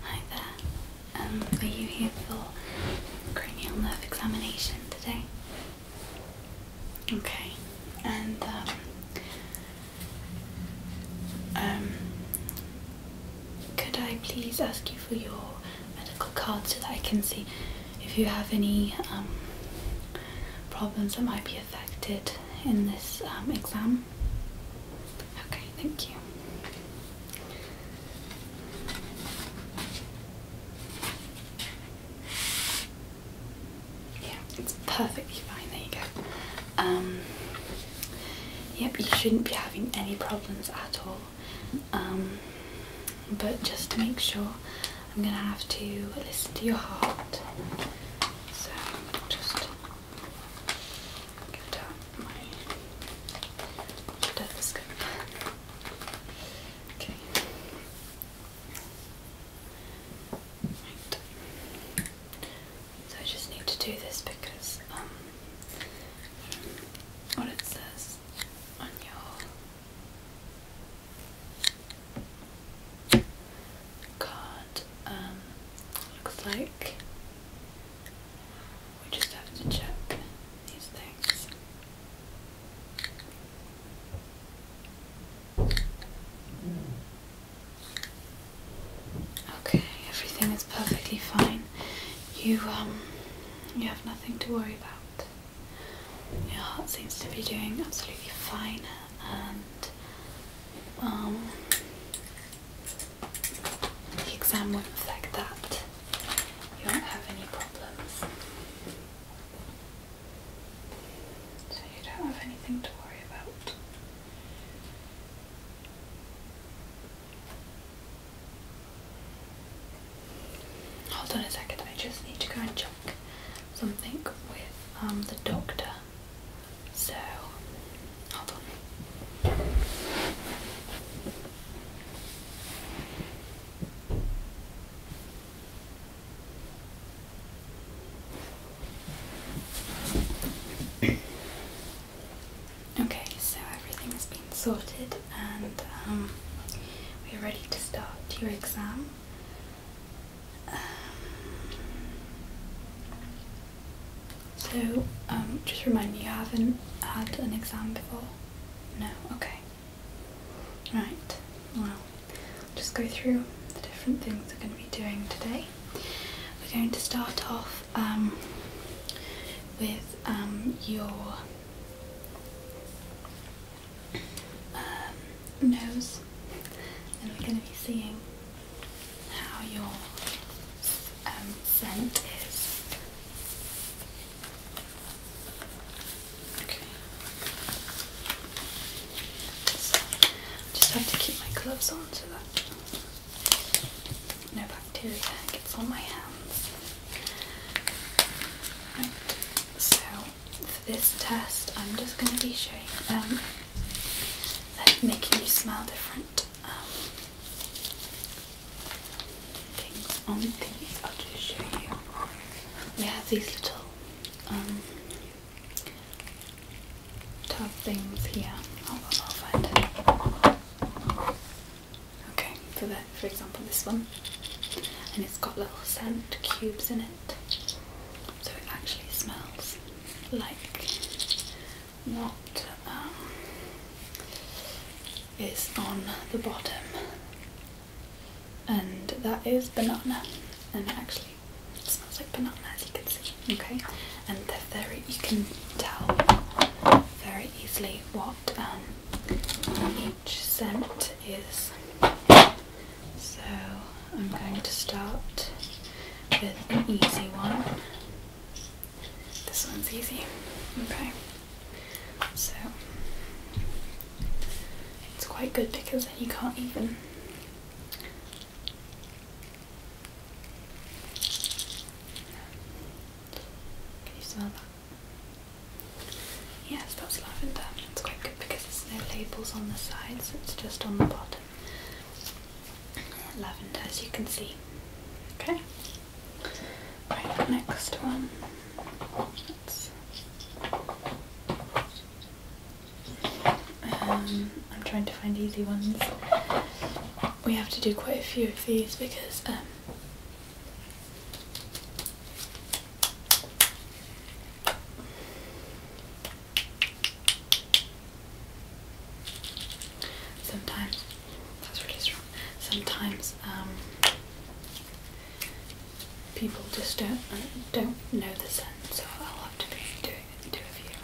Hi there. Um, are you here for cranial nerve examination today? Okay. And um, um, could I please ask you for your medical card so that I can see if you have any um, problems that might be affected in this um, exam? Okay, thank you. Yeah, it's perfectly fine. There you go. Um, yep, you shouldn't be having any problems at all. Um, but just to make sure, I'm gonna have to listen to your heart. So just go down Okay. So I just need to do this because um, what it says on your card um looks like we just have to check these things. Okay, everything is perfectly fine. You um you have nothing to worry about. Your heart seems to be doing absolutely fine and um the exam won't affect that. You do not have any problems. So you don't have anything to worry about. Hold on a second, I just need to go and check something with um, the doctor. So Okay, so everything has been sorted and um, we're ready to start your exam. Um, so, um, just remind me, you haven't had an exam before? No? Okay. Right, well, just go through the different things we're going to be doing today. We're going to start off um, with um, your nose and we're going to be seeing how your um, scent is. Okay. So, just have to keep my gloves on so that no bacteria gets on my hands. So for this test, I'm just going to be showing them um, making you smell different. Um, we have these little um, tub things here. Okay, so that for example this one. And it's got little scent cubes in it. So it actually smells like what um, on the bottom, and that is banana. And actually, smells like banana as you can see. Okay, and they're very you can tell very easily what um, each scent is. So I'm going to start with an easy one. This one's easy. Okay. So it's quite good because then you can't even Can you smell that? Yes, that's lavender. It's quite good because there's no labels on the sides, it's just on the bottom. Lavender as you can see. Okay. Right, next one. Um, I'm trying to find easy ones. We have to do quite a few of these because um, Sometimes, that's really strong. Sometimes um, people just don't don't know the scent, so I'll have to do it, do a few.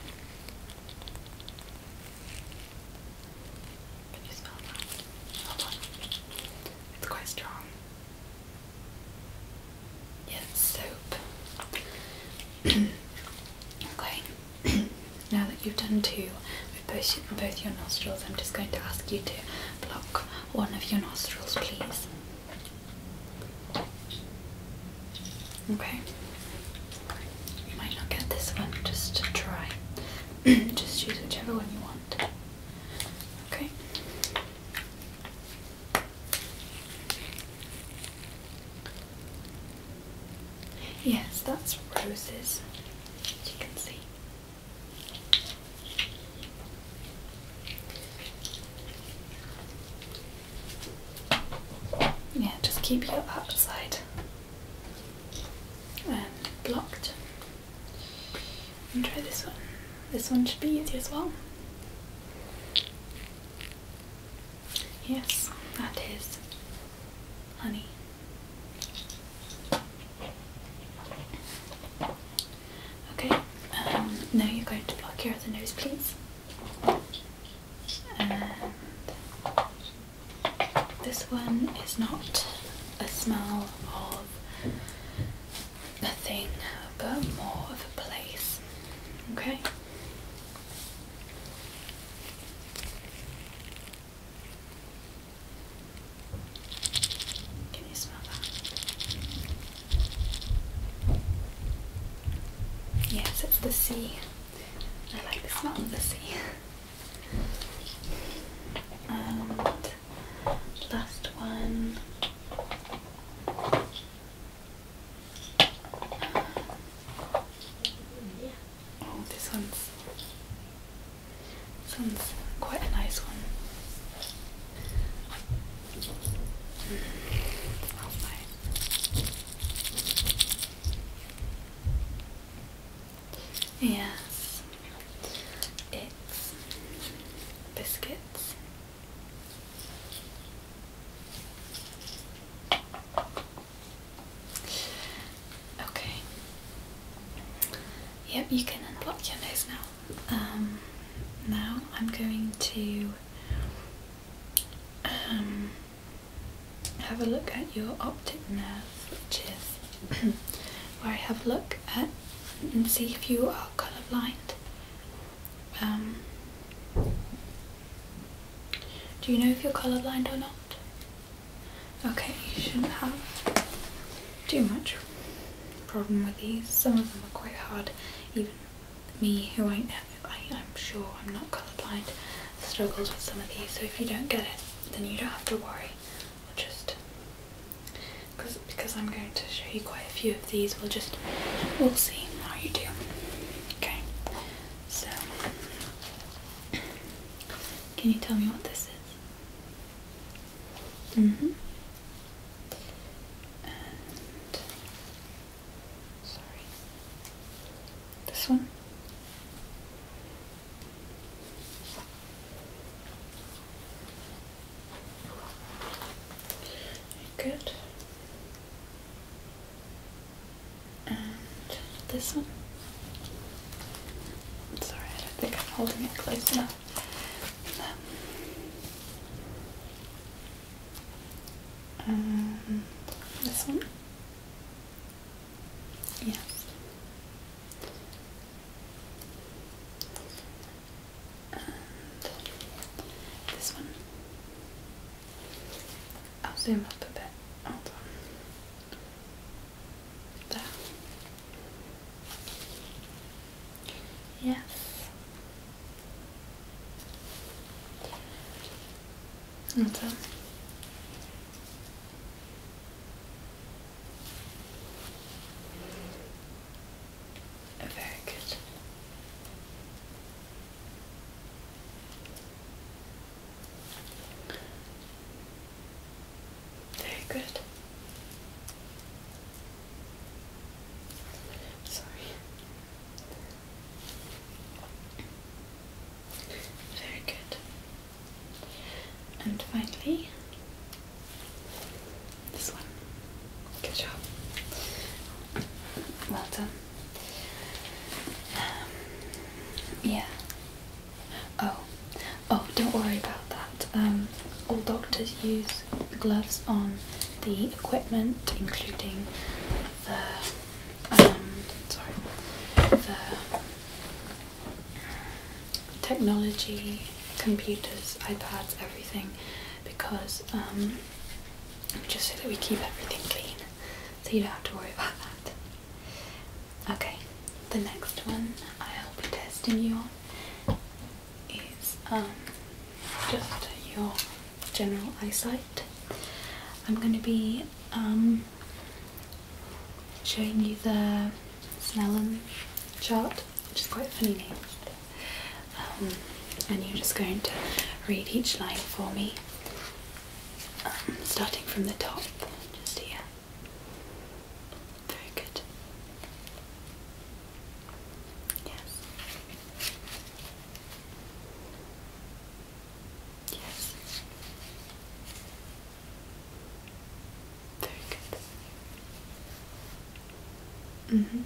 Can you smell that? Hold on, it's quite strong. Yes, soap. okay. now that you've done two with both, both your nostrils, I'm just going to ask you to block one of your nostrils, please. Okay. You might not get this one, just to try. just choose whichever one you want. Okay. Yes, that's roses, as you can see. Yeah, just keep your upside um, blocked. And try this one. This one should be easy as well. Yes, that is honey. Okay, um, now you're going to block your other nose, please. And this one is not a smell of a thing, but more of a place. Okay. Can you smell that? Yes, it's the sea. I like the smell of the sea. and last one. Um, Oh, this one's this quite a nice one. Yes, it's biscuits. Okay. Yep, you can unblock your nose now. Um, now I'm going to um, have a look at your optic nerve, which is where I have a look at and see if you are colorblind. Um, do you know if you're colorblind or not? Okay, you shouldn't have too much problem with these. Some of them are quite hard. Even me, who I, I I'm sure I'm not colorblind, struggles with some of these. So if you don't get it, then you don't have to worry. We'll just because because I'm going to show you quite a few of these. We'll just we'll see how you do. Okay, so. Can you tell me what this is? Mm hmm. Sorry. This one? Good and this one. i sorry, I don't think I'm holding it close enough. Um, this one. Yes. And this one. I'll zoom up a bit. Hold on. Yes. And Very good. Very good. Sorry. Very good. And finally, this one. Good job. Well done. Um, yeah, Oh, oh, don't worry about that. Um, all doctors use gloves on the equipment, including the um, sorry, the technology, computers, iPads, everything, because um, just so that we keep everything clean, so you don't have to worry about that. Okay, the next one I'll be testing you on is um, just your general eyesight. I'm going to be um, showing you the Snellen chart, which is quite a funny name. Um, and you're just going to read each line for me um, starting from the top, just here. Very good. Yes. Yes. Very good. Mm-hmm.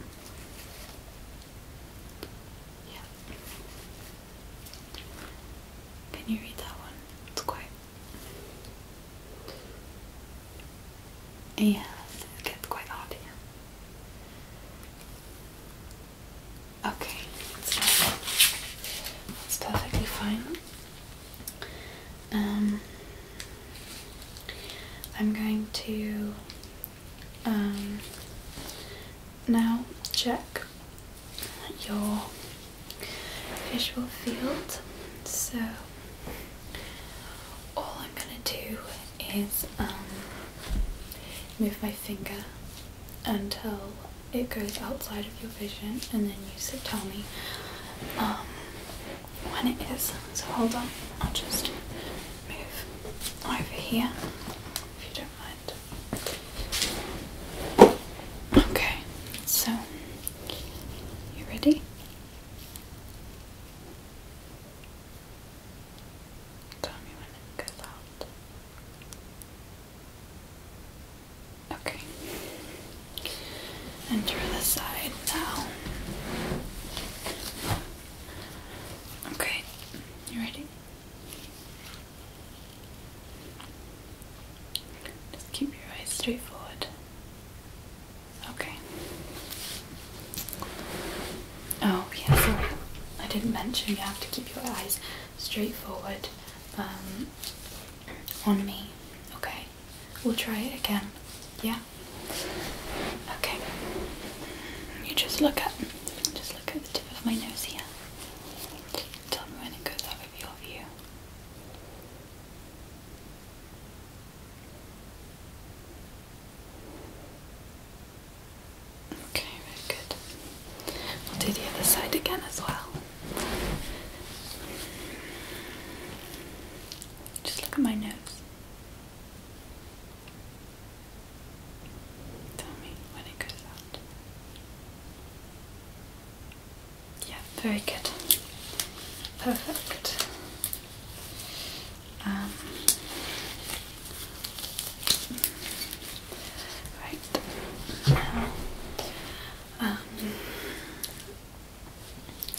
Yeah. Can you read that one? It's quite. Yeah, it gets quite hard here. Yeah. Okay, so that's perfectly fine. Um, I'm going to um, now check your visual field. So, all I'm going to do is um, move my finger until it goes outside of your vision, and then you say, tell me um, when it is. So, hold on, I'll just move over here if you don't mind. Okay, so you ready? Tell me when it goes out. Okay. Enter the side now. Okay, you ready? Just keep your eyes straightforward. Okay. Oh, yeah, sorry. I didn't mention you have to keep your eyes straightforward um, on me. Okay. We'll try it again. Yeah? Okay. You just look at just look at the tip of my nose here. Tell me when it goes Okay, very good. We'll do the other side again as well. Just look at my nose. Tell me when it goes out. Yeah, very good. Perfect. Um, right. Now, um,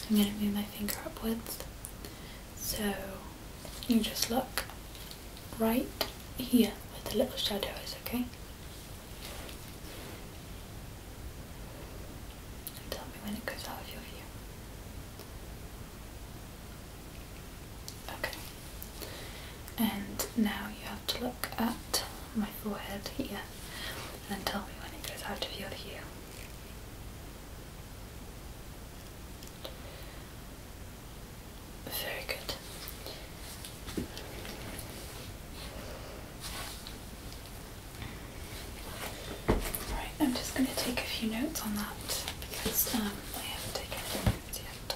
I'm going to move my finger upwards. So you just look right here where the little shadow is, okay? And tell me when it goes out of your view. Okay. And now you have to look at my forehead here and tell me when it goes out of your view. Very good. Right, I'm just going to take a few notes on that because um, I haven't taken any notes yet.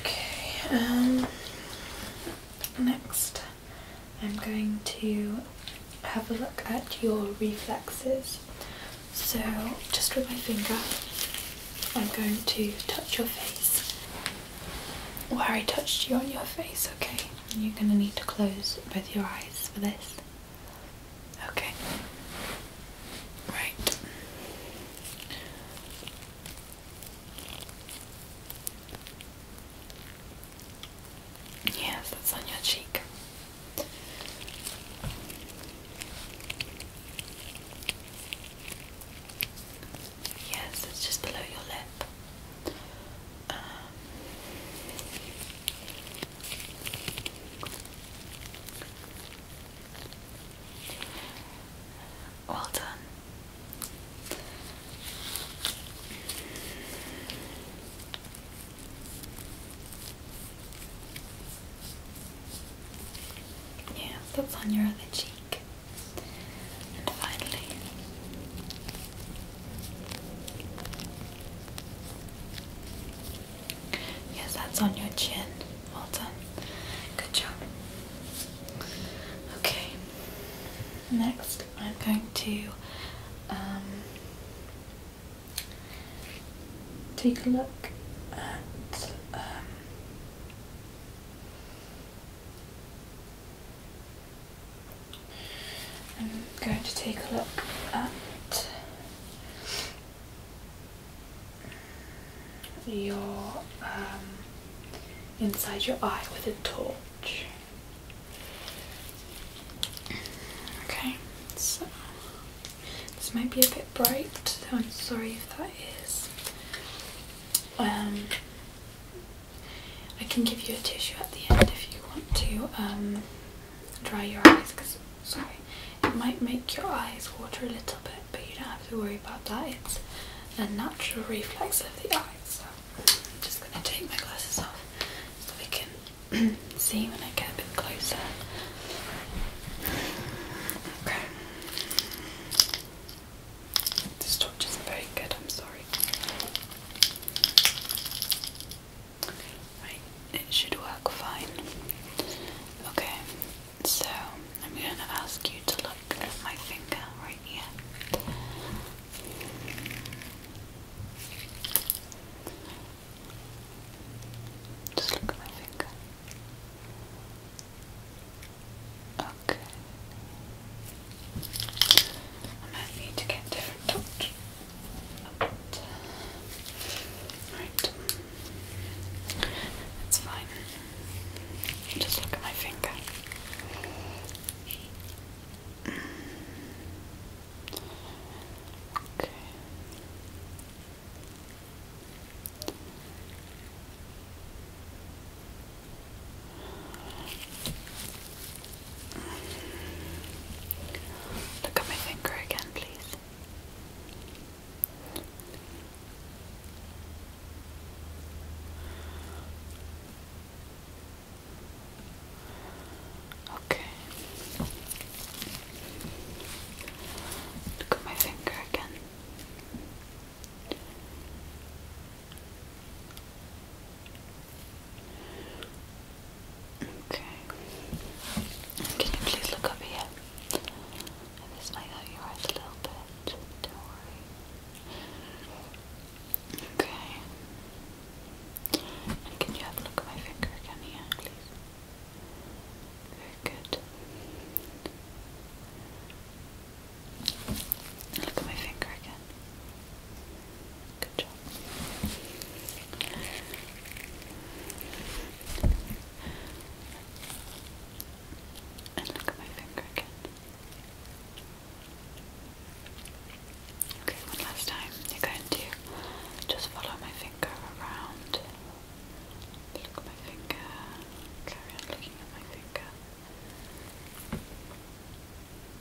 Okay, um, next I'm going to have a look at your reflexes. So, just with my finger, I'm going to touch your face where I touched you on your face, okay? you're going to need to close both your eyes for this. Okay. Right. Yes, that's on your cheek. Yes, it's just below your lip. Uh, well done. Yeah, that's on your other cheek. finally, Yes, that's on your chin. Well done. Good job. Okay. Next, I'm going to um, take a look at. Um, I'm going to take a look at your um, inside your eye with a torch. Okay, so this might be a bit bright, I'm sorry if that is. Um, I can give you a tissue at the end if you want to. Um, dry your eyes because sorry it might make your eyes water a little bit but you don't have to worry about that it's a natural reflex of the eyes so I'm just going to take my glasses off so we can see when I get a bit closer okay this torch isn't very good I'm sorry Right, it should work fine. Okay, so I'm going to ask you to look at my finger right here. Just look at my finger. Okay. I might need to get different torch. All right. It's fine. Just look at my finger. Okay. Look at my finger again, please. Okay. Look at my finger again. Okay. Can you please look over here? this might hurt a little bit. Don't worry. Okay. And can you have a look at my finger again please? Very good. Look at my finger again. Good look at my finger again. Okay, one last time. You're going to just follow my finger around. Look at my finger. Carry on looking at my finger.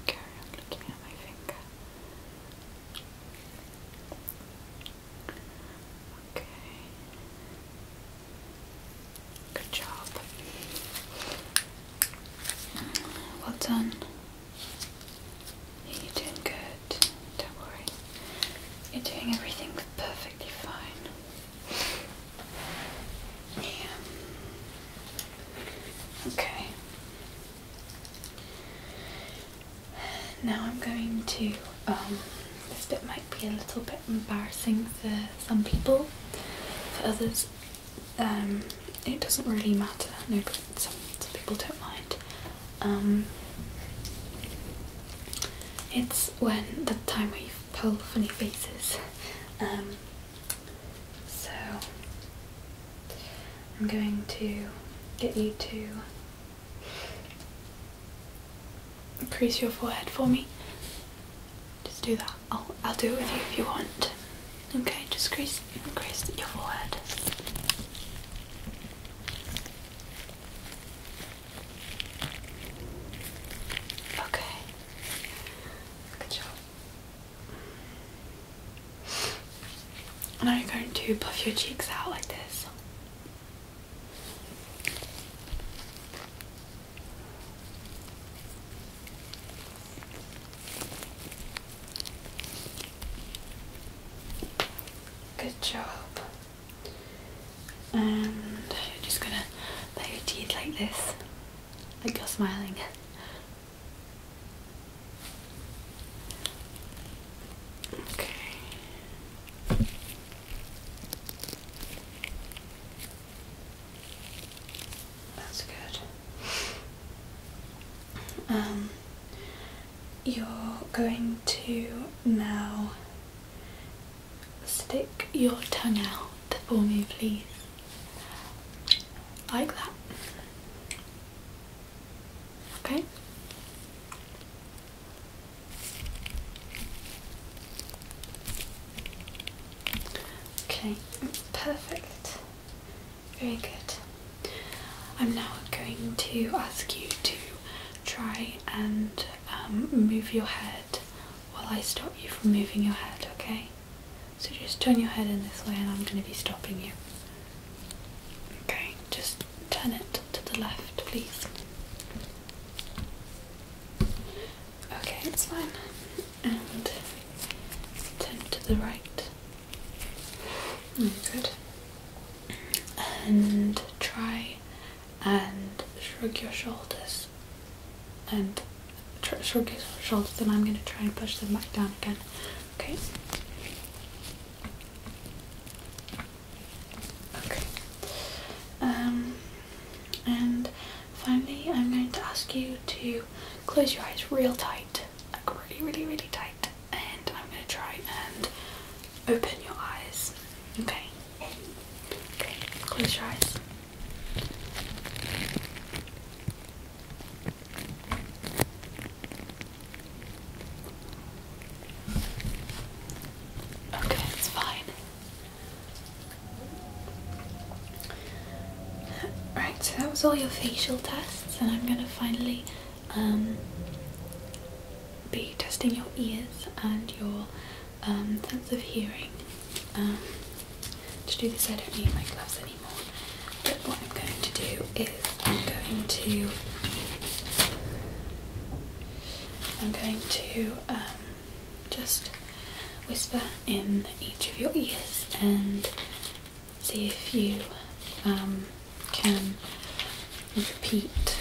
Carry on looking at my finger. Okay. Good job. Well done. You're doing good. Don't worry. You're doing everything perfectly fine. Yeah. Okay. Now I'm going to, um, this bit might be a little bit embarrassing for some people, for others um, it doesn't really matter, no, but some, people don't mind. Um, it's when the time we pull funny faces. so I'm going to get you to crease your forehead for me. Just do that. I'll, I'll do it with you if you want. Okay, just crease, crease your forehead. Okay. Good job. Now you're going to puff your cheeks out like this. Good job. And you're just gonna let your teeth like this, like you're smiling. Okay. That's good. Um, you're going to now stick your tongue out for me, please. Like that. Okay? Okay, perfect. Very good. I'm now going to ask you to try and um, move your head while I stop you from moving your head, okay? So just turn your head in this way and I'm going to be stopping you. Okay, just turn it to the left, please. Okay, it's fine. And turn to the right. Mm, good. And try and shrug your shoulders. And shrug your shoulders, and I'm going to try and push them back down again. Okay? Okay. Um, and finally, I'm going to ask you to close your eyes real tight, like really, really, really tight, and I'm going to try and open your eyes. Okay. Okay. Close your eyes. Okay, it's fine. Right, so that was all your facial tests, and I'm gonna finally um, be testing your ears and your um, sense of hearing. Um, to do this, I don't need my gloves anymore. But what I'm going to do is I'm going to I'm going to um, just whisper in each of your ears and see if you um, can repeat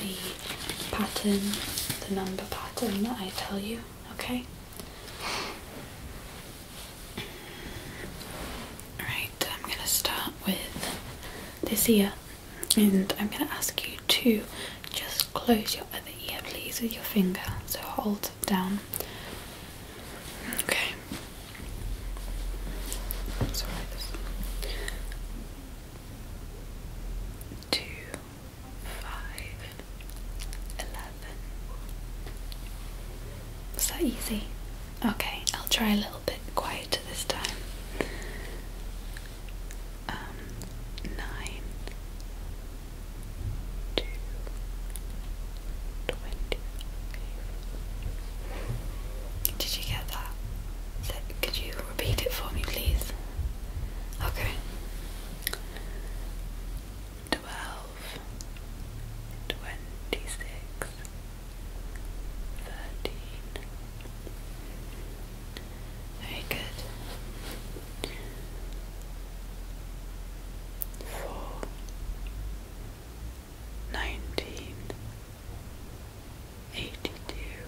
the pattern, the number pattern that I tell you, okay? Alright, I'm going to start with this ear and I'm going to ask you to just close your other ear please with your finger. So hold it down. Okay. So Two, five, eleven, was that easy? Okay, I'll try a little bit quieter this time. Um, nine, two, twenty. Did you get that? could you repeat it for me, please? Okay twelve, twenty six, thirteen. Very good. Four, nineteen, eighty-two.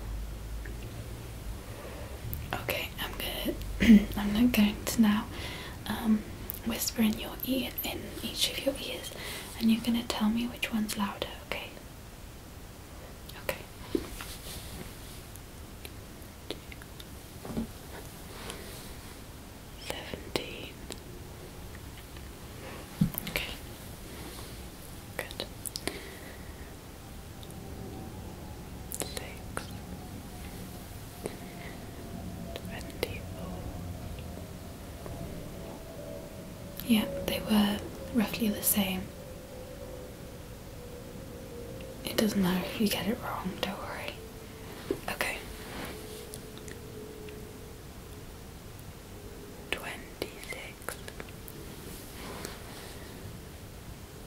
Okay, I'm gonna. I'm not going to now. Um, whisper in your ear in each of your ears and you're gonna tell me which one's louder, okay? Okay. Seventeen. Okay. Good. Six. Twenty-four. Yeah, they were roughly the same. It doesn't matter if you get it wrong, don't worry. Okay. 26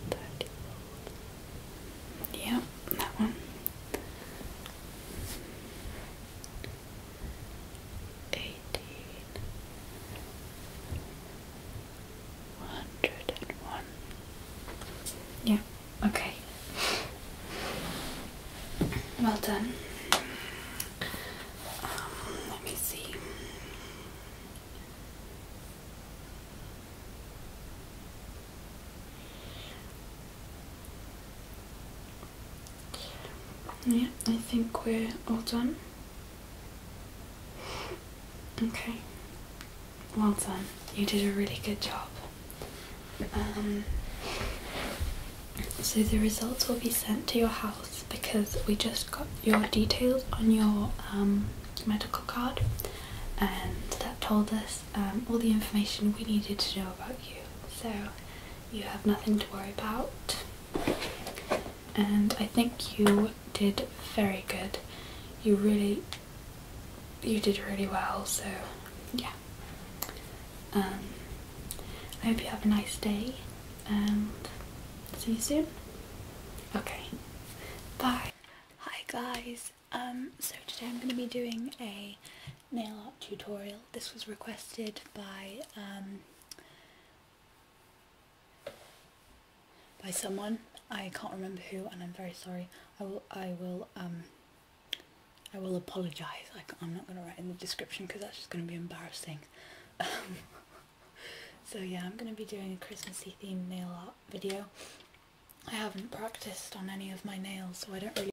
30. Yeah, that one eighteen, one hundred and one. Yeah, okay. Well done. Um, let me see. Yeah, I think we're all done. Okay, well done. You did a really good job. Um, so the results will be sent to your house because we just got your details on your um, medical card and that told us um, all the information we needed to know about you. So you have nothing to worry about. And I think you did very good. You really, you did really well, so yeah. Um, I hope you have a nice day and see you soon. Okay, bye. Hi guys, um, so today I'm going to be doing a nail art tutorial. This was requested by um, by someone. I can't remember who, and I'm very sorry. I will. I will. Um, I will apologise. I'm not going to write in the description because that's just going to be embarrassing. Um, so yeah, I'm going to be doing a Christmassy themed nail art video. I haven't practiced on any of my nails, so I don't really.